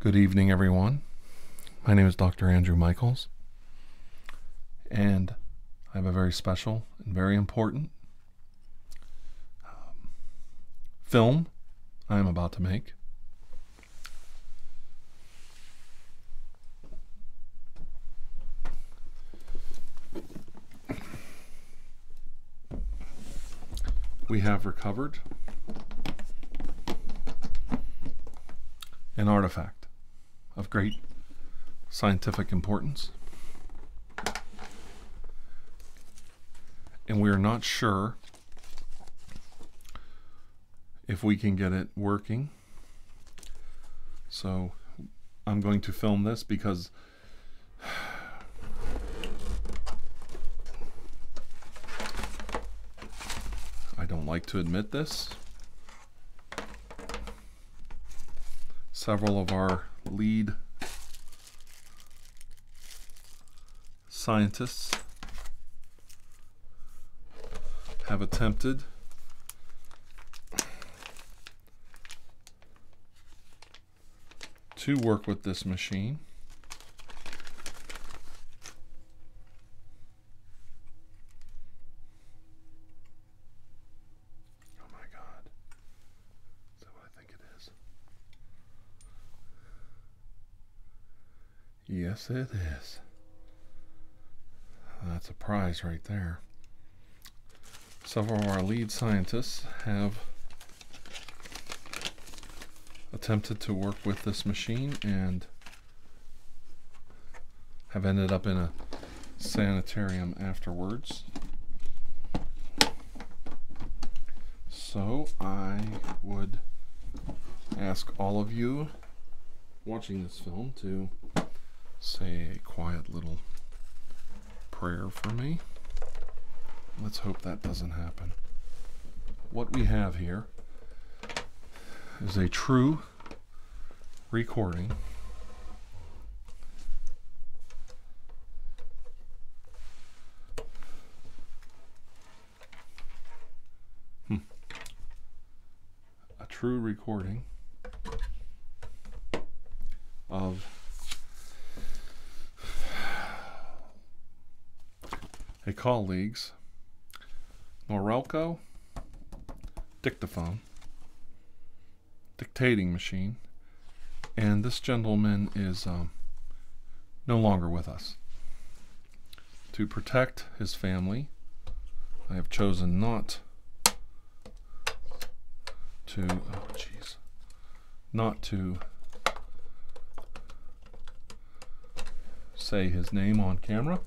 Good evening, everyone. My name is Dr. Andrew Michaels, and I have a very special and very important um, film I am about to make we have recovered an artifact of great scientific importance. And we are not sure if we can get it working so I'm going to film this because I don't like to admit this. Several of our lead scientists have attempted to work with this machine. Oh my God. Is that what I think it is? Yes, it is. That's a prize right there. Several of our lead scientists have attempted to work with this machine and have ended up in a sanitarium afterwards. So I would ask all of you watching this film to say a quiet little prayer for me. Let's hope that doesn't happen. What we have here is a true recording a true recording of a colleague's Norelco dictaphone, dictating machine, and this gentleman is um, no longer with us. To protect his family, I have chosen not to, oh jeez, not to say his name on camera.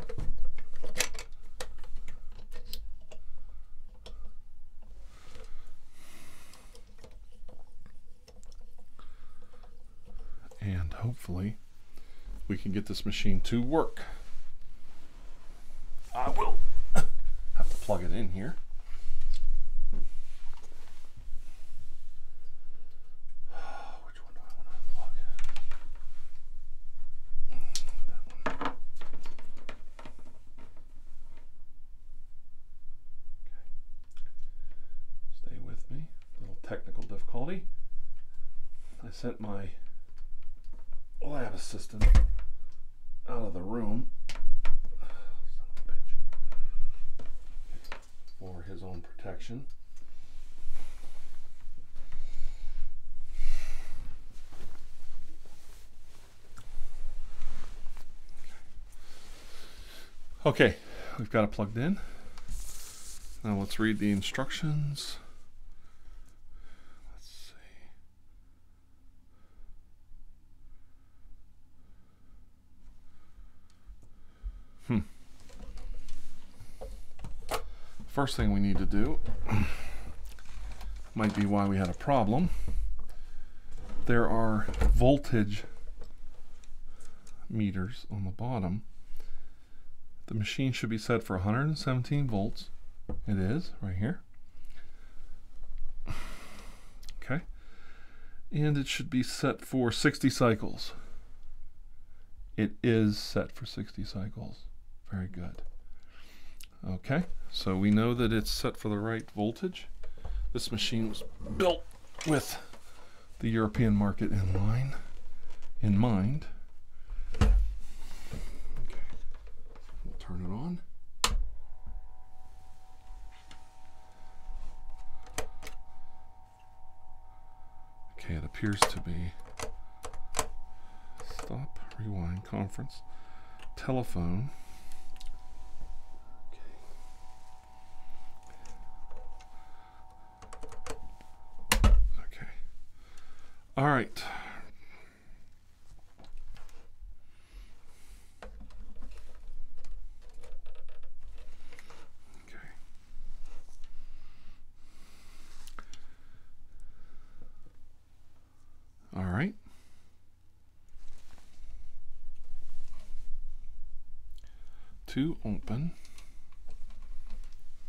And hopefully we can get this machine to work. I will have to plug it in here. Which one do I want to plug? Mm, that one. Okay. Stay with me. A little technical difficulty. I sent my Oh, have a system out of the room. For his own protection. Okay, we've got it plugged in. Now let's read the instructions. Let's see. Hmm. First thing we need to do might be why we had a problem. There are voltage meters on the bottom. The machine should be set for 117 volts. It is right here. Okay. And it should be set for 60 cycles. It is set for 60 cycles. Very good. Okay, so we know that it's set for the right voltage. This machine was built with the European market in mind. We'll turn it on. Okay, it appears to be stop, rewind, conference, telephone. okay. All right. Okay. All right. To open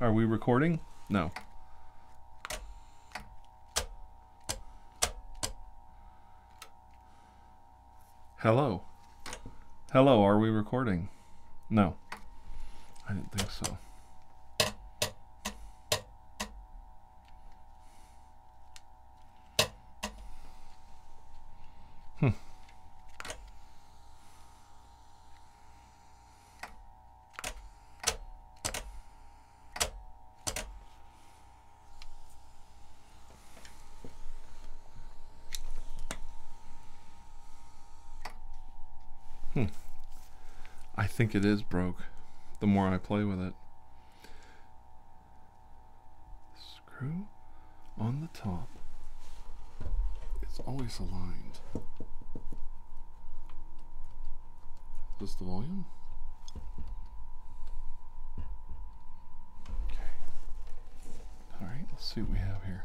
Are we recording? No. Hello. Hello, are we recording? No. I didn't think so. Hmm. Hmm. I think it is broke the more I play with it. Screw on the top. It's always aligned. Is the volume? Okay. Alright, let's see what we have here.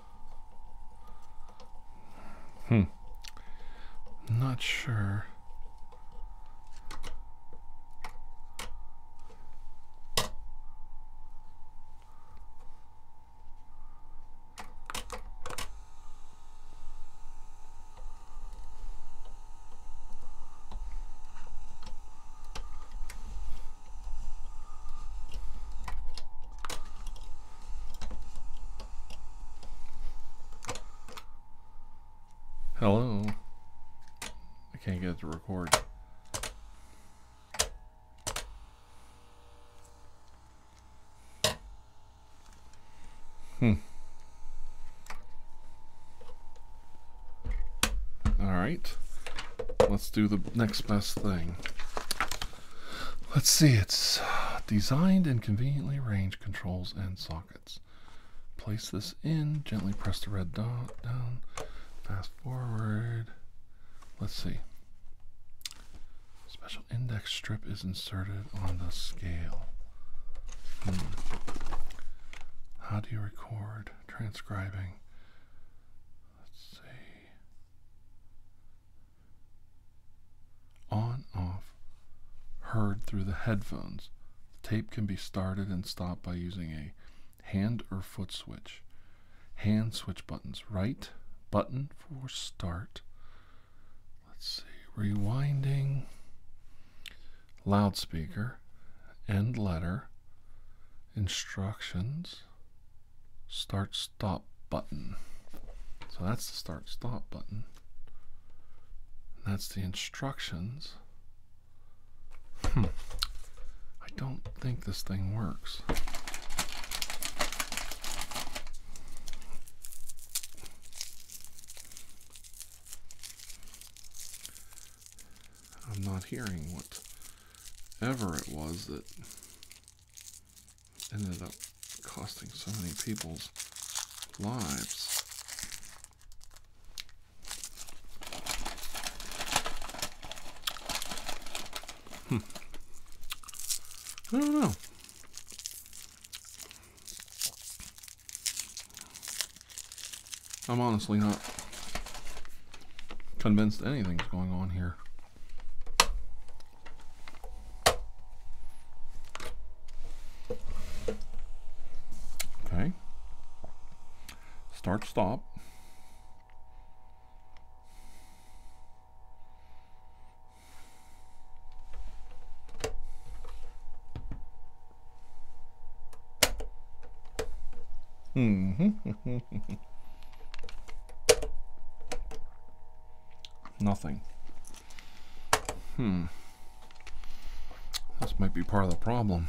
Hmm. Not sure. Hello. I can't get it to record. Hmm. All right. Let's do the next best thing. Let's see, it's uh, designed and conveniently arranged controls and sockets. Place this in, gently press the red dot down, fast forward. Let's see. Special index strip is inserted on the scale. Hmm. How do you record? Transcribing. Let's see. On, off, heard through the headphones. tape can be started and stopped by using a hand or foot switch. Hand switch buttons. Right button for start. Let's see, rewinding. Loudspeaker. End letter. Instructions. Start stop button. So that's the start stop button. That's the instructions. Hmm. I don't think this thing works. I'm not hearing what ever it was that ended up costing so many people's lives. Hmm. I don't know. I'm honestly not convinced anything's going on here. Okay. Start, stop. Hmm. Nothing. Hmm. This might be part of the problem.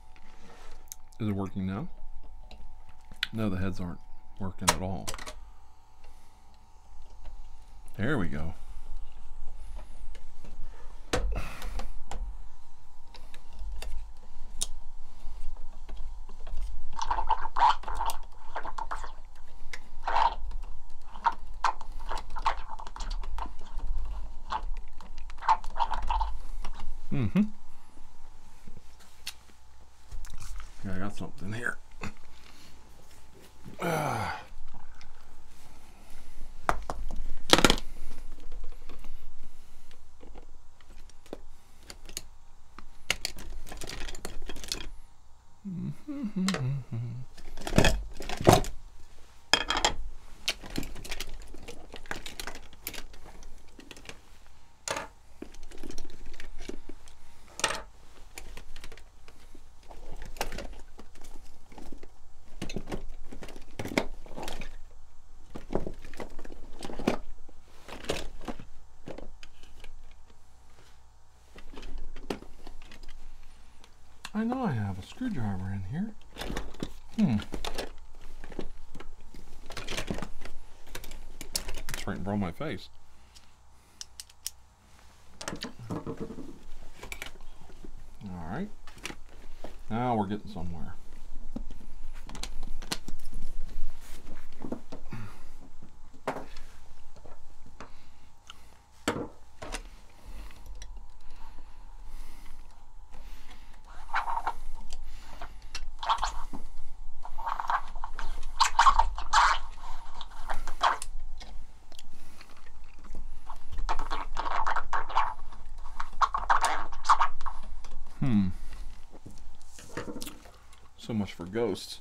Is it working now? No, the heads aren't working at all. There we go. hmm yeah, I got something here. Uh. I know I have a screwdriver in here. Hmm. It's right in front of my face. Alright. Now we're getting somewhere. Hmm. So much for ghosts.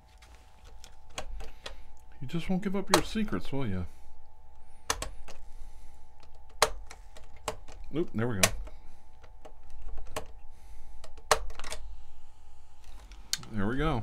You just won't give up your secrets, will you? Oop, there we go. There we go.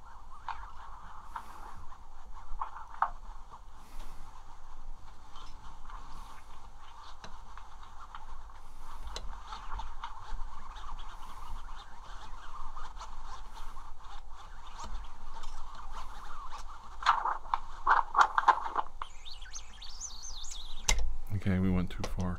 Okay, we went too far.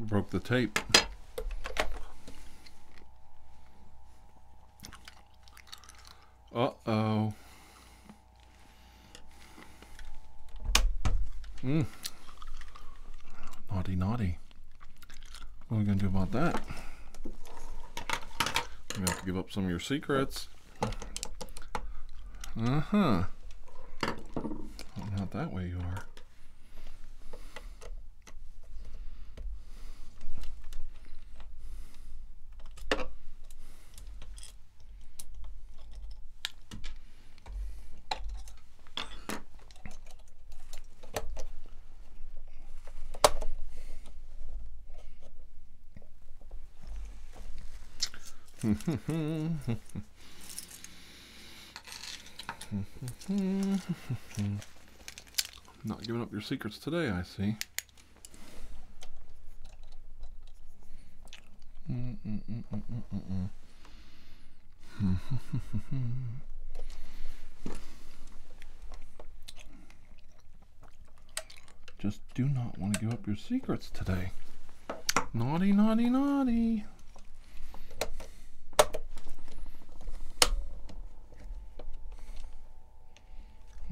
Broke the tape. Uh-oh. Mm. Naughty, naughty. What are we going to do about that? You have to give up some of your secrets. Uh huh. not that way you are. Not giving up your secrets today, I see. Just do not want to give up your secrets today. Naughty, naughty, naughty.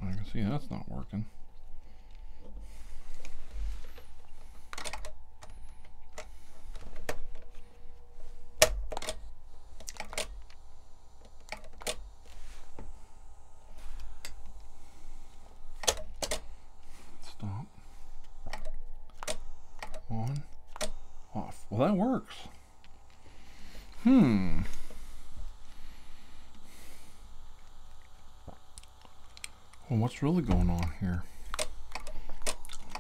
I can see that's not working. Stop. On. Off. Well, that works. Hmm. Well, what's really going on here?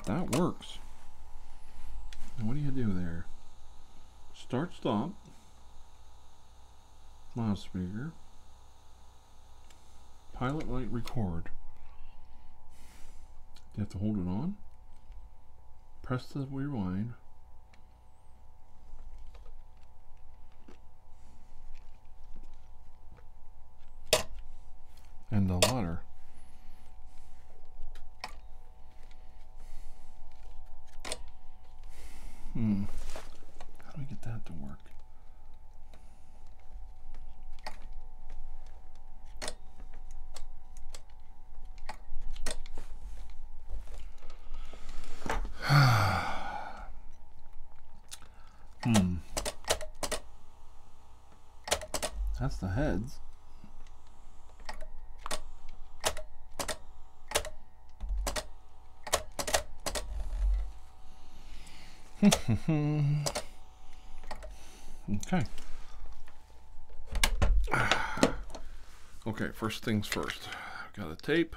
That works. what do you do there? Start, stop loudspeaker, pilot light record. You have to hold it on, press the rewind, and the letter. Hmm. How do we get that to work? hmm. That's the heads okay. Okay, first things first. I've got a tape.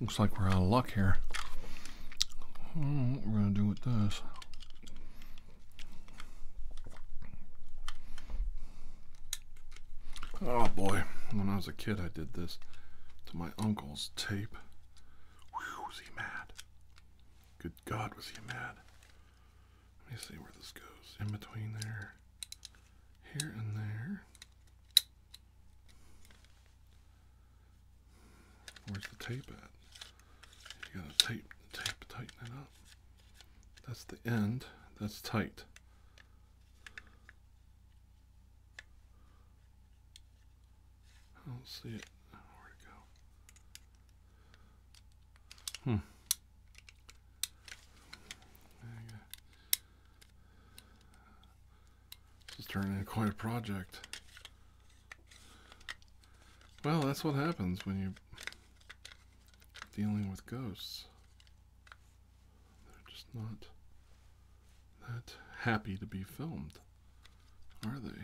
Looks like we're out of luck here. I do what we're going to do with this. Oh boy, when I was a kid I did this to my uncle's tape. was he mad. Good God, was he mad. Let me see where this goes. In between there here and there. Where's the tape at? You gotta tape, tape, tighten it up. That's the end. That's tight. I don't see it. Where'd it go? Hmm. This is turning into quite a project. Well, that's what happens when you're dealing with ghosts. They're just not that happy to be filmed, are they?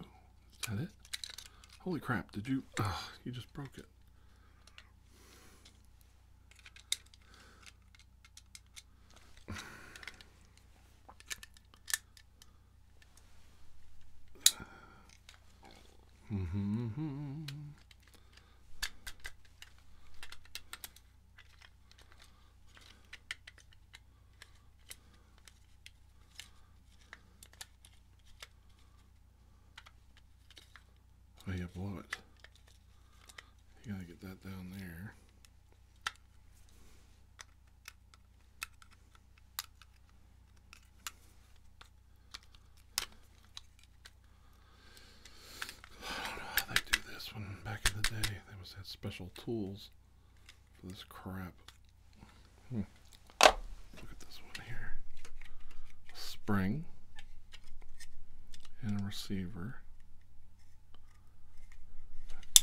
is that it? Holy crap, did you... you just broke it. Mm-hmm. Oh, you blow it. You gotta get that down there. I don't know how they do this one back in the day. They must have special tools this crap. Hmm. Look at this one here. Spring and a receiver.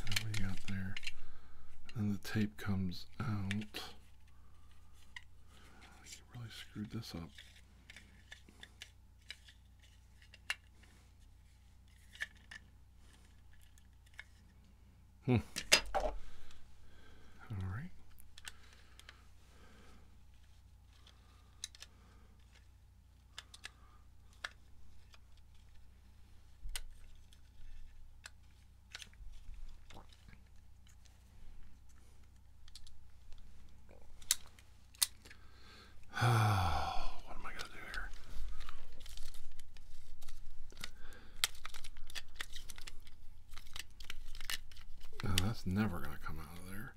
And we got there. then the tape comes out. You really screwed this up. Hmm. All right. what am I going to do here? that's never going to come out of there.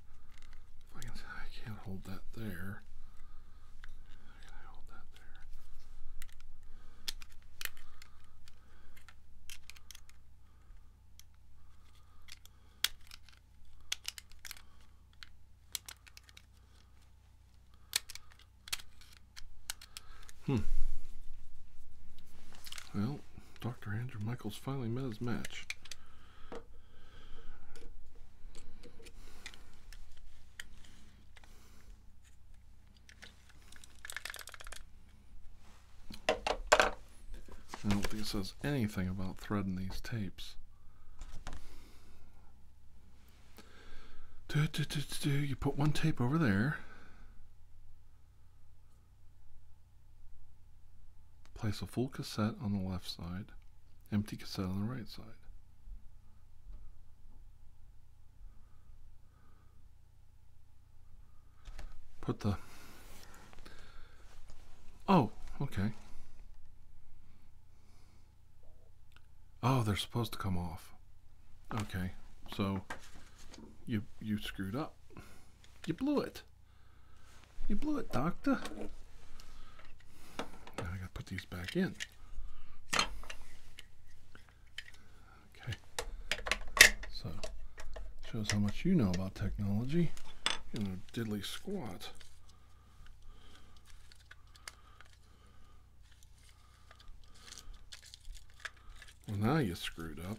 I, can, not hold that there. Can I hold that there? Hmm. Well, Dr. Andrew Michaels finally met his match. I don't think it says anything about threading these tapes. Do, do, do, do, You put one tape over there. Place a full cassette on the left side, empty cassette on the right side. Put the. Oh, okay. Oh, they're supposed to come off. Okay, so you you screwed up. You blew it. You blew it, doctor. Now I gotta put these back in. Okay. So shows how much you know about technology You know, diddly squat. Well, now you screwed up.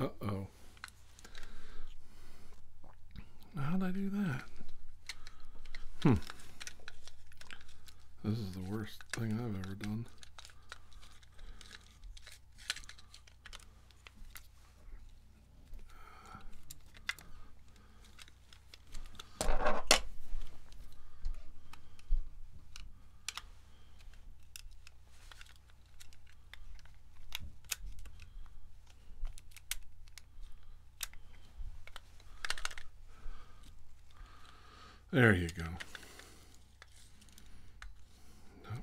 Uh-oh. How'd I do that? Hmm. This is the worst thing I've ever done. There you go. Nope.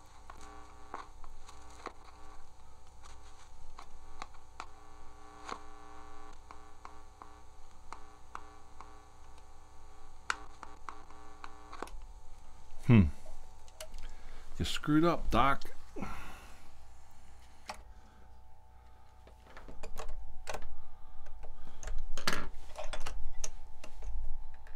Hmm. You screwed up, Doc.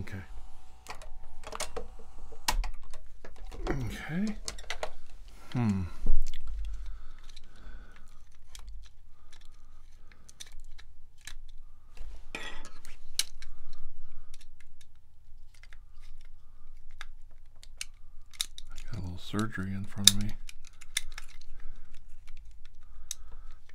Okay. Okay. Hmm. I got a little surgery in front of me.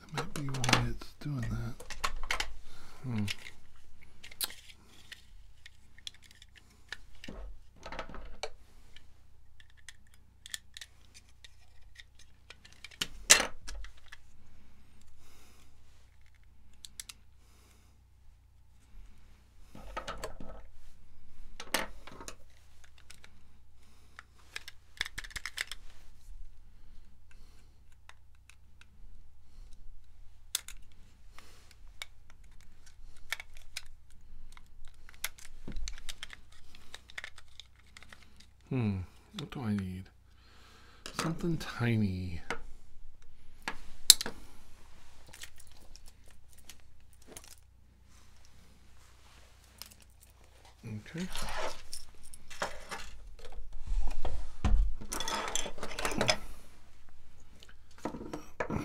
That might be why it's doing that. Hmm. Hmm, what do I need? Something tiny. Okay. Uh,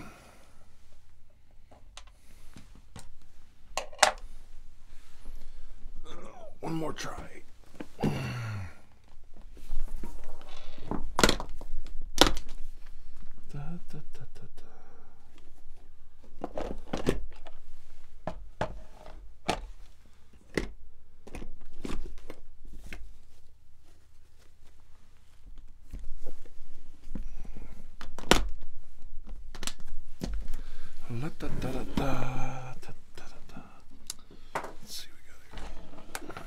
one more try. та та та та та La da da da da da da da. Let's see, we gotta go.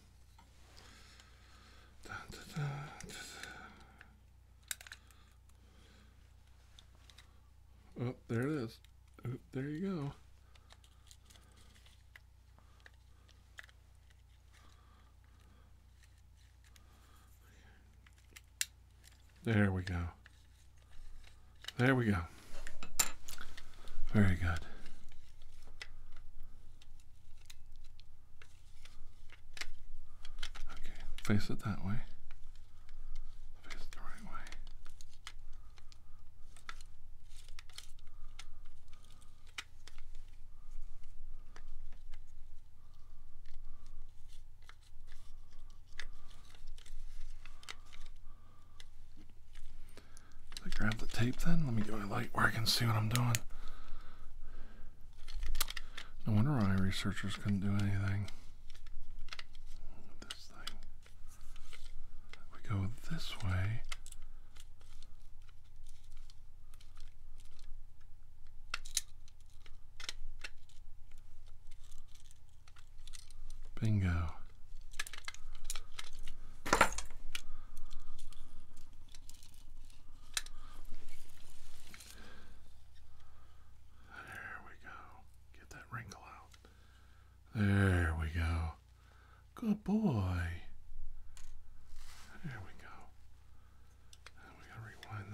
oh, there it is. Oh, there you go. There we go. There we go. Very good. Okay, face it that way. Face it the right way. I grab the tape then. Let me get my light where I can see what I'm doing. No wonder why researchers couldn't do anything. This thing. We go this way. Bingo. There we go. Get that wrinkle out. There we go. Good boy. There we go. we gotta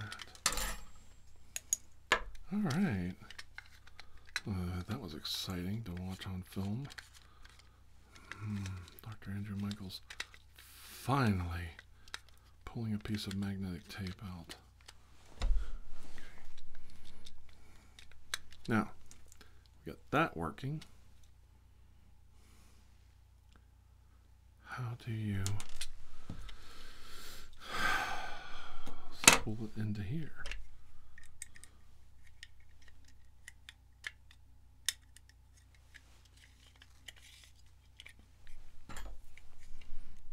rewind that. Alright. Uh, that was exciting to watch on film. Hmm, Dr. Andrew Michaels finally pulling a piece of magnetic tape out. Now, we got that working. How do you pull it into here?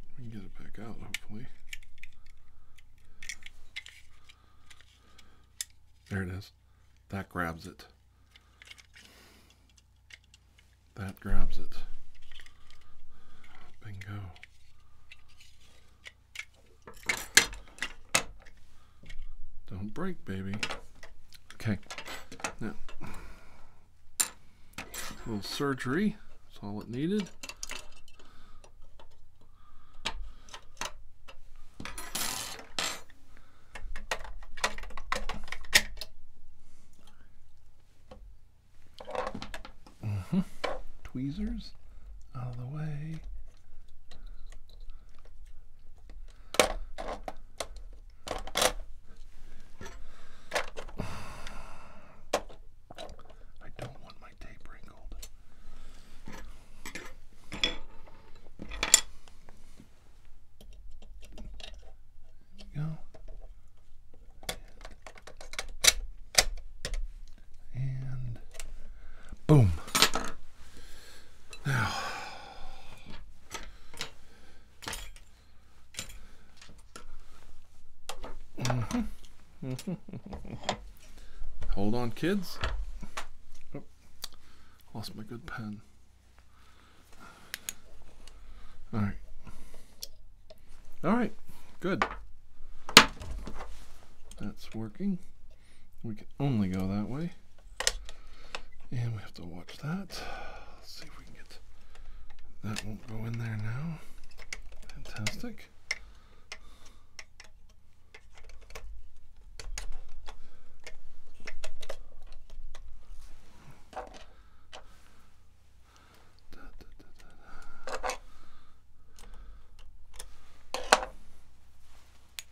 We can get it back out, hopefully. There it is. That grabs it. That grabs it. Bingo. Don't break, baby. Okay, now little surgery. That's all it needed. Mm-hmm. Tweezers out of the way. I don't want my tape wrinkled. There go. And, and boom. Now, hold on, kids. Oh, lost my good pen. All right. All right. Good. That's working we can only go that way and we have to watch that let's see if we can get that won't go in there now fantastic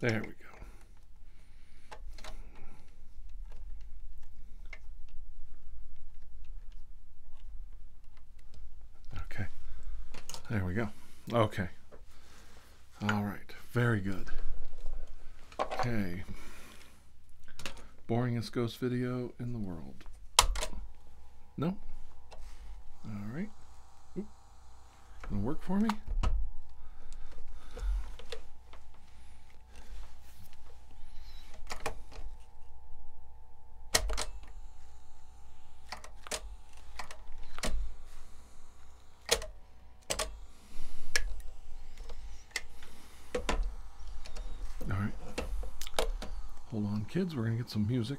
There we go. Okay. There we go. Okay. All right, very good. Okay. Boringest ghost video in the world. No? All right. Oop. Gonna work for me? All right. Hold on, kids. We're going to get some music.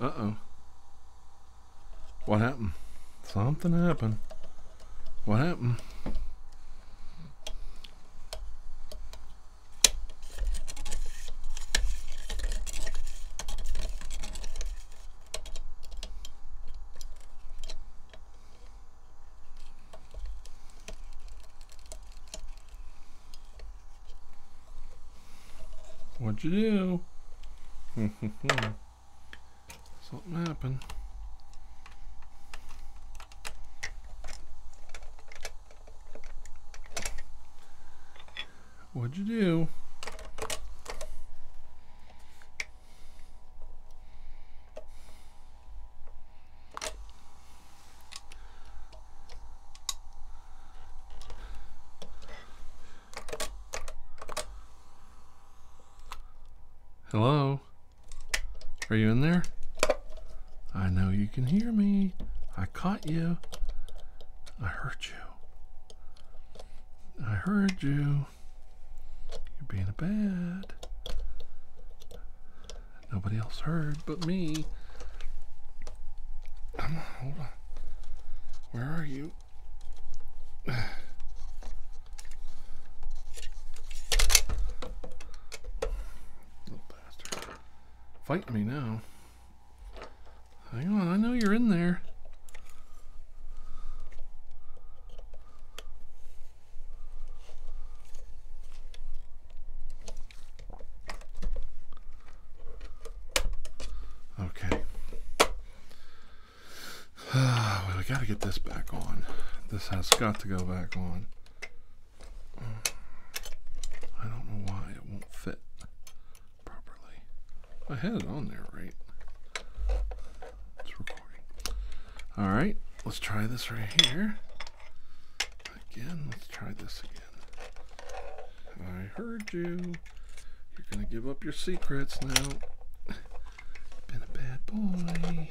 Uh-oh. What happened? Something happened. What happened? What'd you do? Something happened. What'd you do? Hello? Are you in there? I know you can hear me. I caught you. I heard you. I heard you. You're being a bad. Nobody else heard but me. Come hold on. Where are you? Little bastard. Fight me now. Hang on, I know you're in there. Okay. well, we gotta get this back on. This has got to go back on. Mm. I don't know why it won't fit properly. I had it on there, right? It's recording. All right, let's try this right here. Again, let's try this again. I heard you. You're gonna give up your secrets now. Been a bad boy.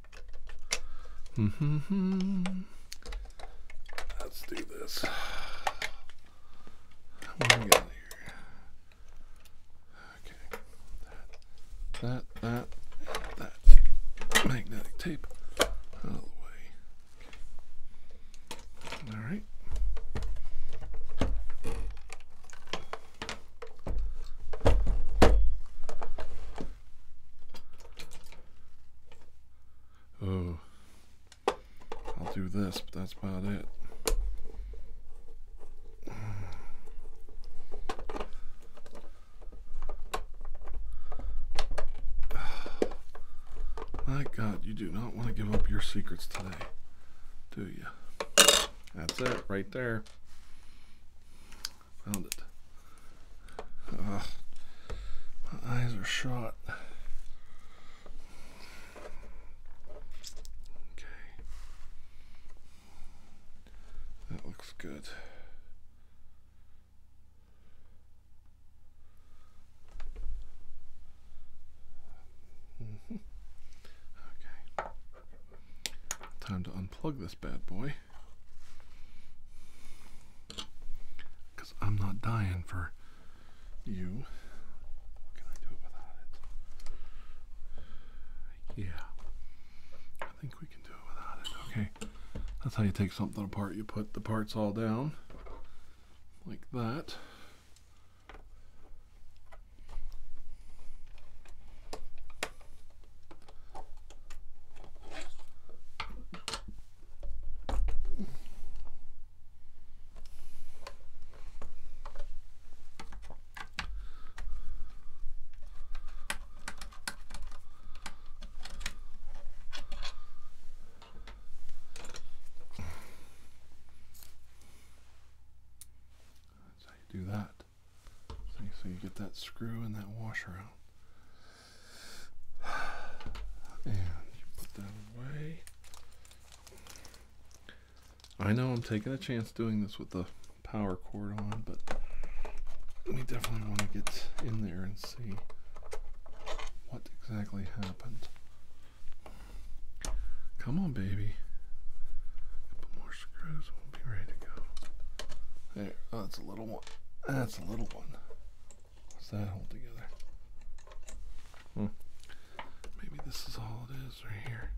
Mm-hmm. Let's do this. What do we here? Okay. That, that, that, that. Magnetic tape out the way. All right. Oh, I'll do this, but that's about it. My God, you do not want to give up your secrets today, do you? That's it, right there. Found it. Ah, my eyes are shot. Okay. That looks good. Mm-hmm. Okay. Time to unplug this bad boy. Because I'm not dying for you. Can I do it without it? Yeah. I think we can do it without it. Okay. That's how you take something apart. You put the parts all down like that. That's how do that. So you get that screw and that washer out. And you put that away. I know I'm taking a chance doing this with the power cord on, but we definitely want to get in there and see what exactly happened. Come on, baby. A more screws, we'll be ready to go. There, oh, that's a little one. That's a little What's that hold together? Hmm. Maybe this is all it is right here.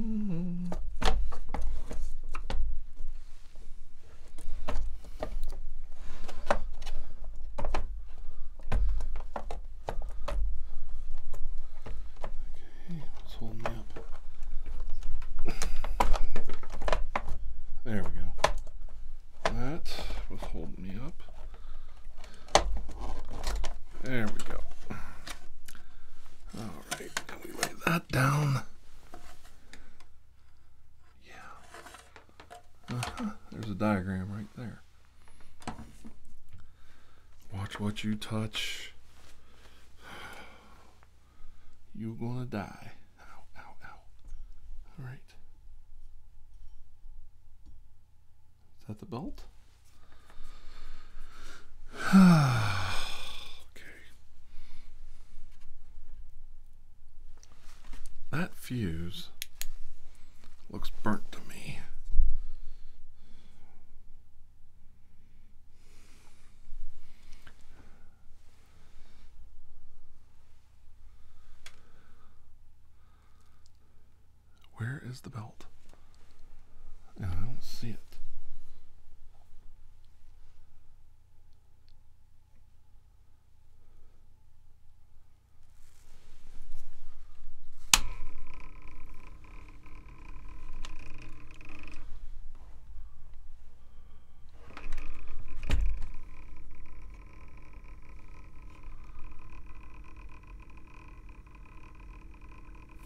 Okay, what's holding me up? There we go. That was holding me up. There we go. All right, can we lay that down. Yeah. Uh-huh. There's a diagram right there. Watch what you touch. You're gonna die. Ow, ow, ow. Alright. Is that the belt? okay. That fuse looks burnt to me. Where is the belt? I don't see it.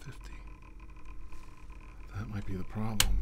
Fifty. That might be the problem.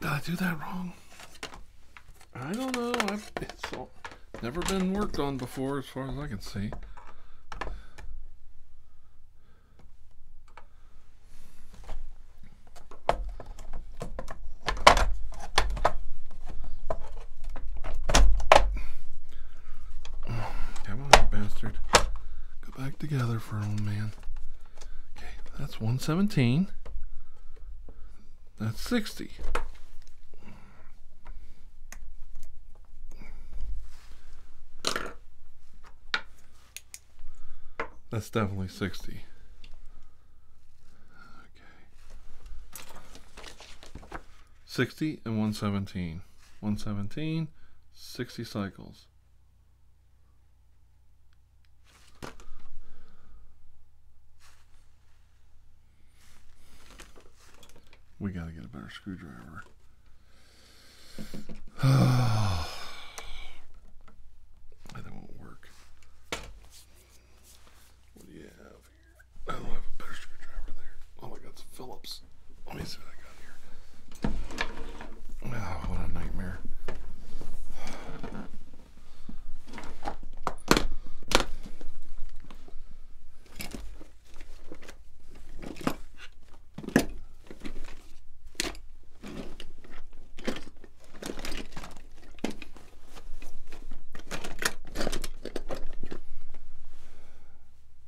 Did I do that wrong? I don't know. I've, never been worked on before as far as I can see. Come on, bastard. Go back together for old man. Okay, that's 117. That's 60. That's definitely 60. Okay. 60 and 117. 117, 60 cycles. We gotta get a better screwdriver. that won't work. What do you have? I don't have a better screwdriver there. Oh my god, it's Phillips. Let me see what I got here. Oh, what a nightmare.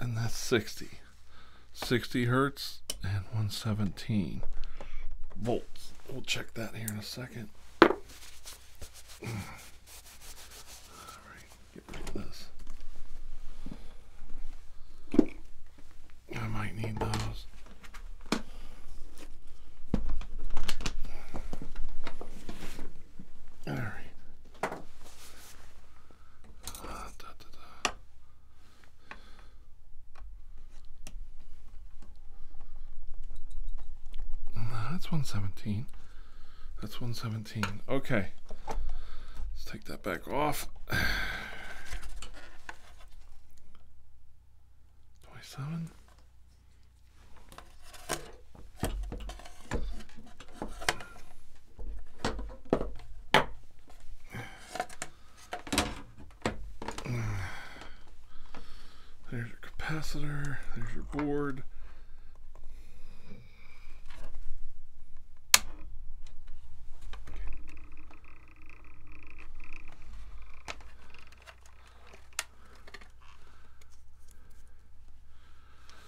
and that's 60 60 hertz and 117 volts we'll check that here in a second I might need those all right. Uh, that's 117. That's 117. Okay. Let's take that back off. 27. There's your capacitor, there's your board.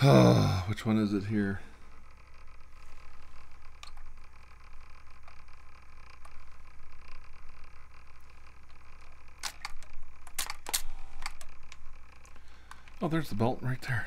Which one is it here? Oh, there's the belt right there.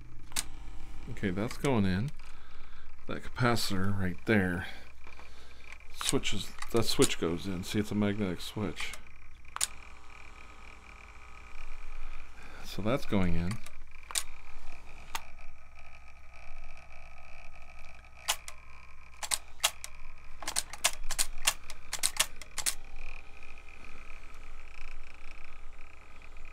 Okay, that's going in. That capacitor right there switches, that switch goes in. See, it's a magnetic switch. So that's going in.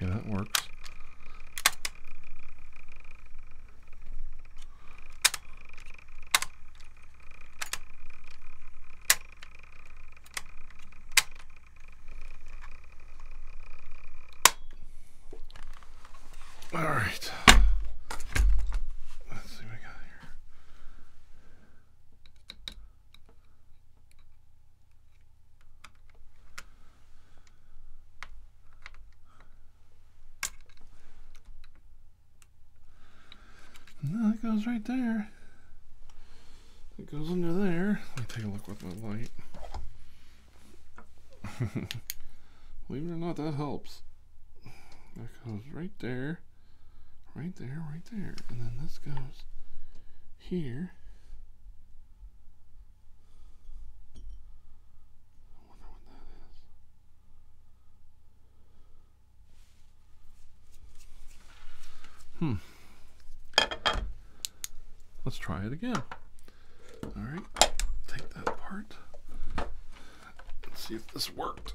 Yeah, that works. All right. Let's see what we got here. And that goes right there. It goes under there. Let me take a look with my light. Believe it or not, that helps. That goes right there, right there, right there. And then this goes here, I wonder what that is. Hmm. Let's try it again. All right, take that apart. Let's see if this worked.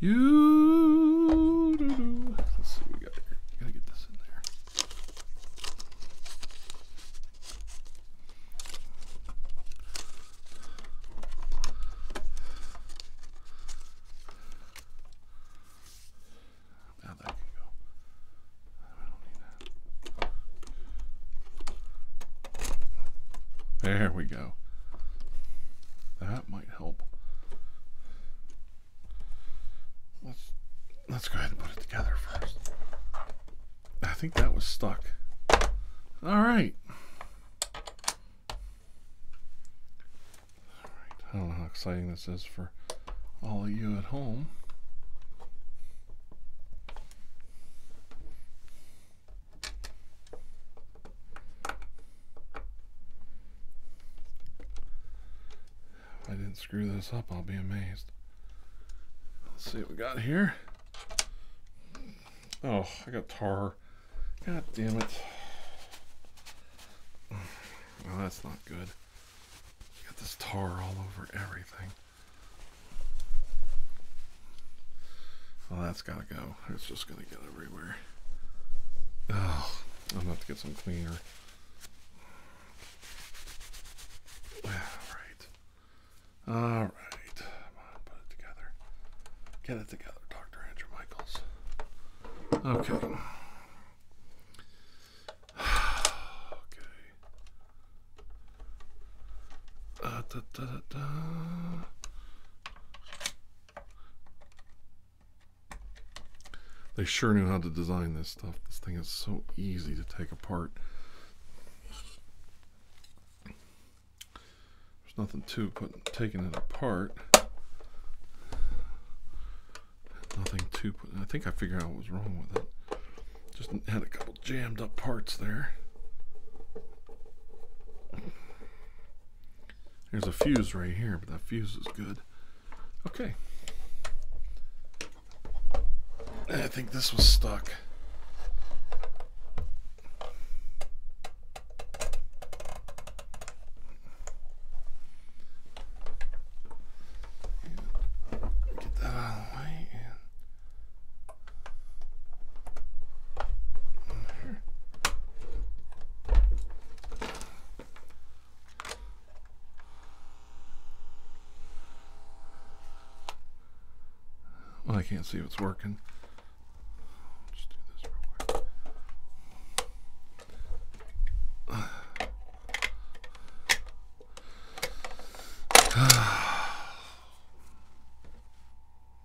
You. Let's see what we got here. We gotta get this in there. Now that can go. I don't need that. There we go. That might help. Let's let's go ahead and put it together first. I think that was stuck. All right. All right. I don't know how exciting this is for all of you at home. If I didn't screw this up, I'll be amazed. Let's see what we got here. Oh, I got tar. God damn it. Well, oh, that's not good. Got this tar all over everything. Well, that's gotta go. It's just gonna get everywhere. Oh, I'm about to get some cleaner. All right. All right. put it together. Get it together, Dr. Andrew Michaels. Okay. okay. Uh, da, da, da, they sure knew how to design this stuff. This thing is so easy to take apart. There's nothing to putting taking it apart. Nothing to put. I think I figured out what was wrong with it. Just had a couple jammed up parts there. There's a fuse right here, but that fuse is good. Okay. I think this was stuck. Get that out of the way well, I can't see if it's working.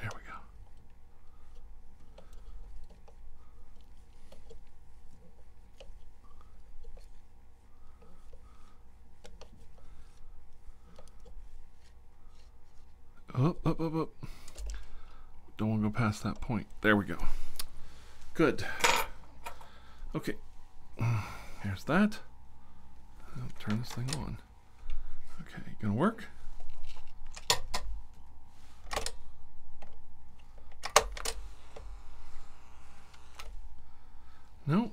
There we go. Up, up, up, up. Don't want to go past that point. There we go. Good. Okay, Here's that. turn this thing on. Okay, gonna work? Nope.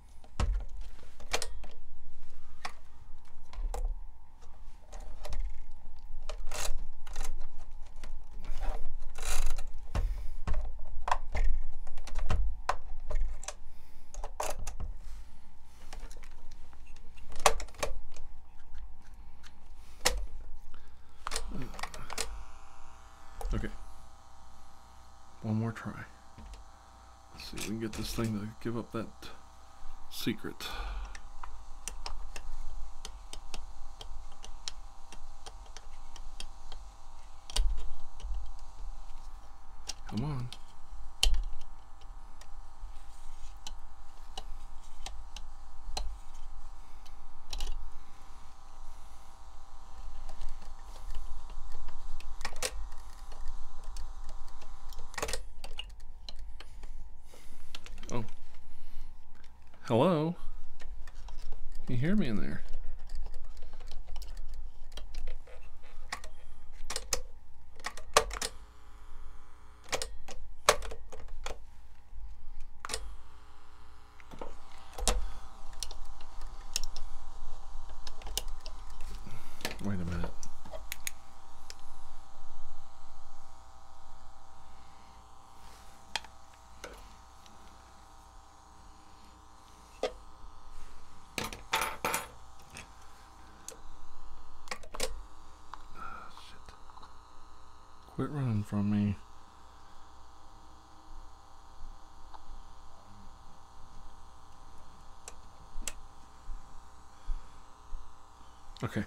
Okay. One more try. See if we can get this thing to give up that secret. Come on. Oh. Hello? Can you hear me in there? Wait a minute. Ah, Quit running from me. Okay.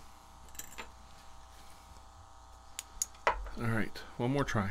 All right, one more try.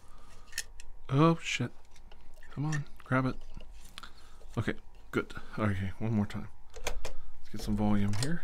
Oh, shit. Come on, grab it. Okay, good. Okay, one more time. Let's get some volume here.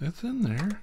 It's in there.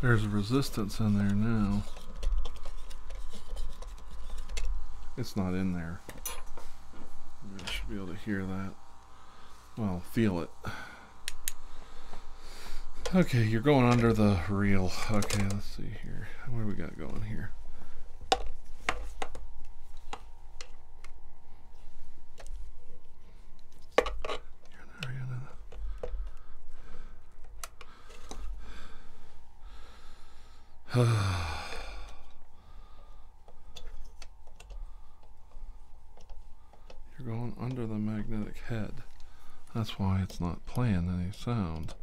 There's resistance in there now. It's not in there. I should be able to hear that. Well, feel it. Okay, you're going under the reel. Okay, let's see here. What do we got going here? You're going under the magnetic head. That's why it's not playing any sound.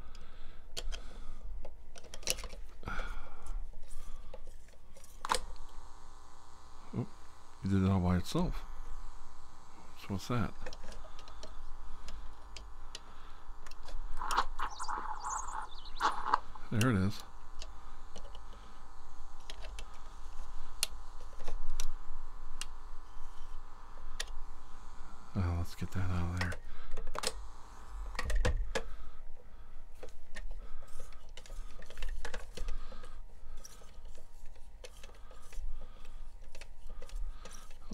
It did it all by itself. So what's that? There it is. let's get that out of there.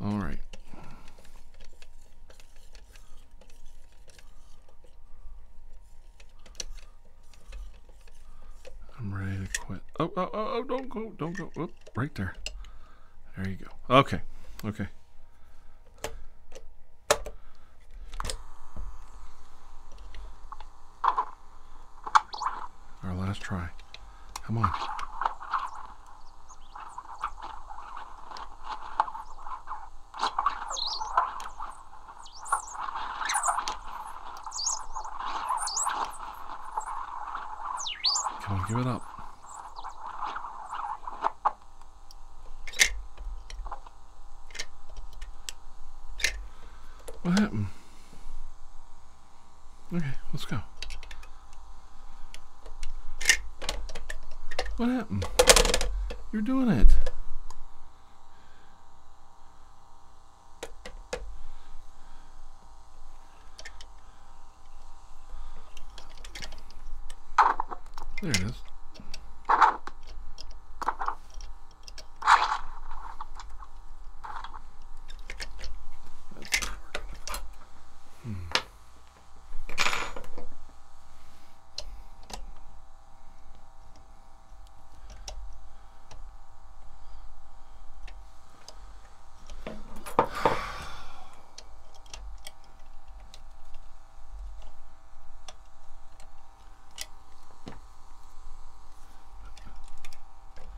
All right. I'm ready to quit. Oh, oh, oh, oh don't go, don't go. right there. There you go. Okay, okay. Our last try. Come on. Come on, give it up. What happened? Okay, let's go. What happened? You're doing it. There it is. That's what we're gonna. Hmm.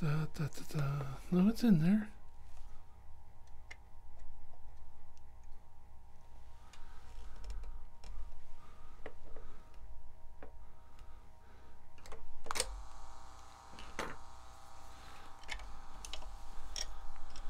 Da, da, da, da. No, it's in there.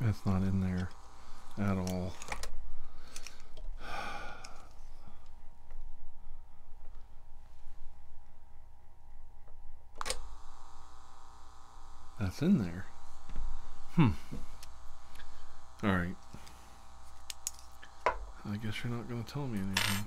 That's not in there at all. That's in there. Hmm. All right. I guess you're not going to tell me anything.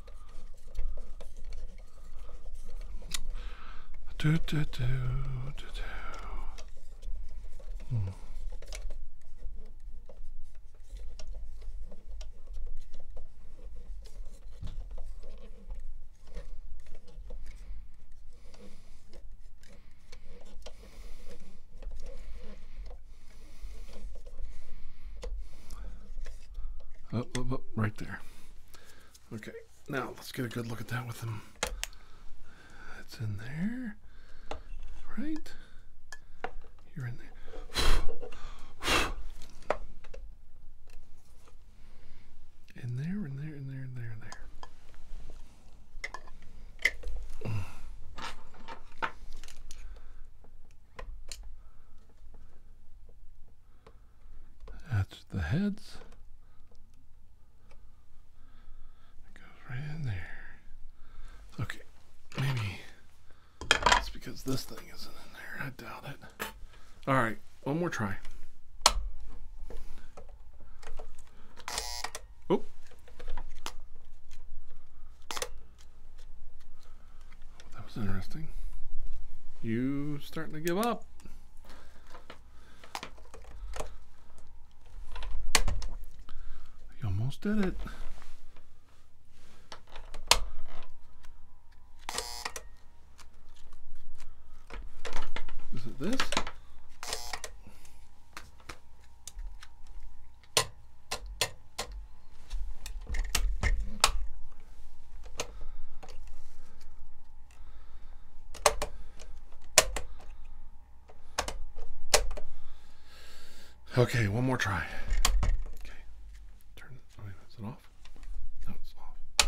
Do, do, do, do, do. Hmm. Up, up, up, right there. Okay, now let's get a good look at that with them. It's in there, right? You're in there. in there, in there, in there, in there, in there. That's the heads. It goes right in there. Okay, maybe it's because this thing isn't in there. I doubt it. All right, one more try. Oh. That was interesting. You starting to give up. You almost did it. Is it this? Okay, one more try. Okay, turn. Oh, is it off? No, it's off.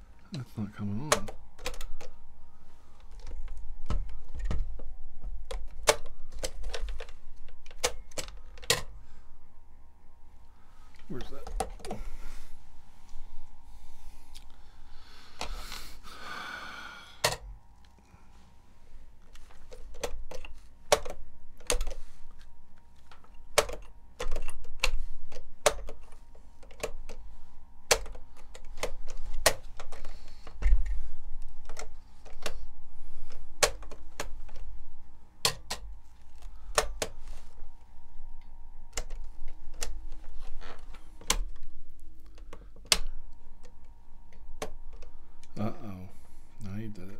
That's not coming on. Where's that? Uh-oh. Now you did it.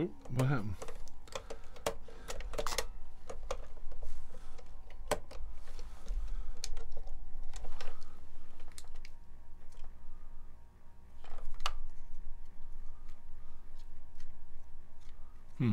Oop, oh, what happened? Hmm.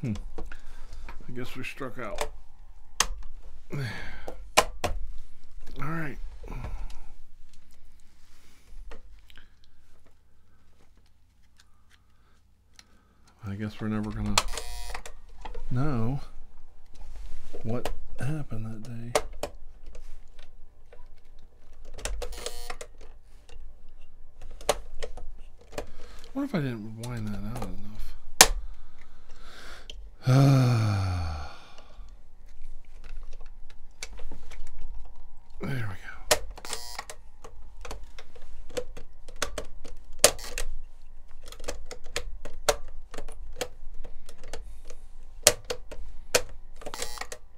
Hmm. I guess we struck out. All right. I guess we're never going to know what happened that day. I wonder if I didn't wind that out enough. there we go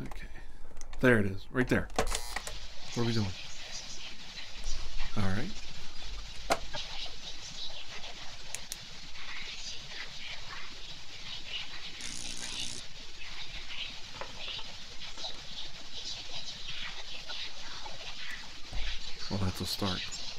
Okay. There it is, right there. What are we doing? All right. Well, that's a start.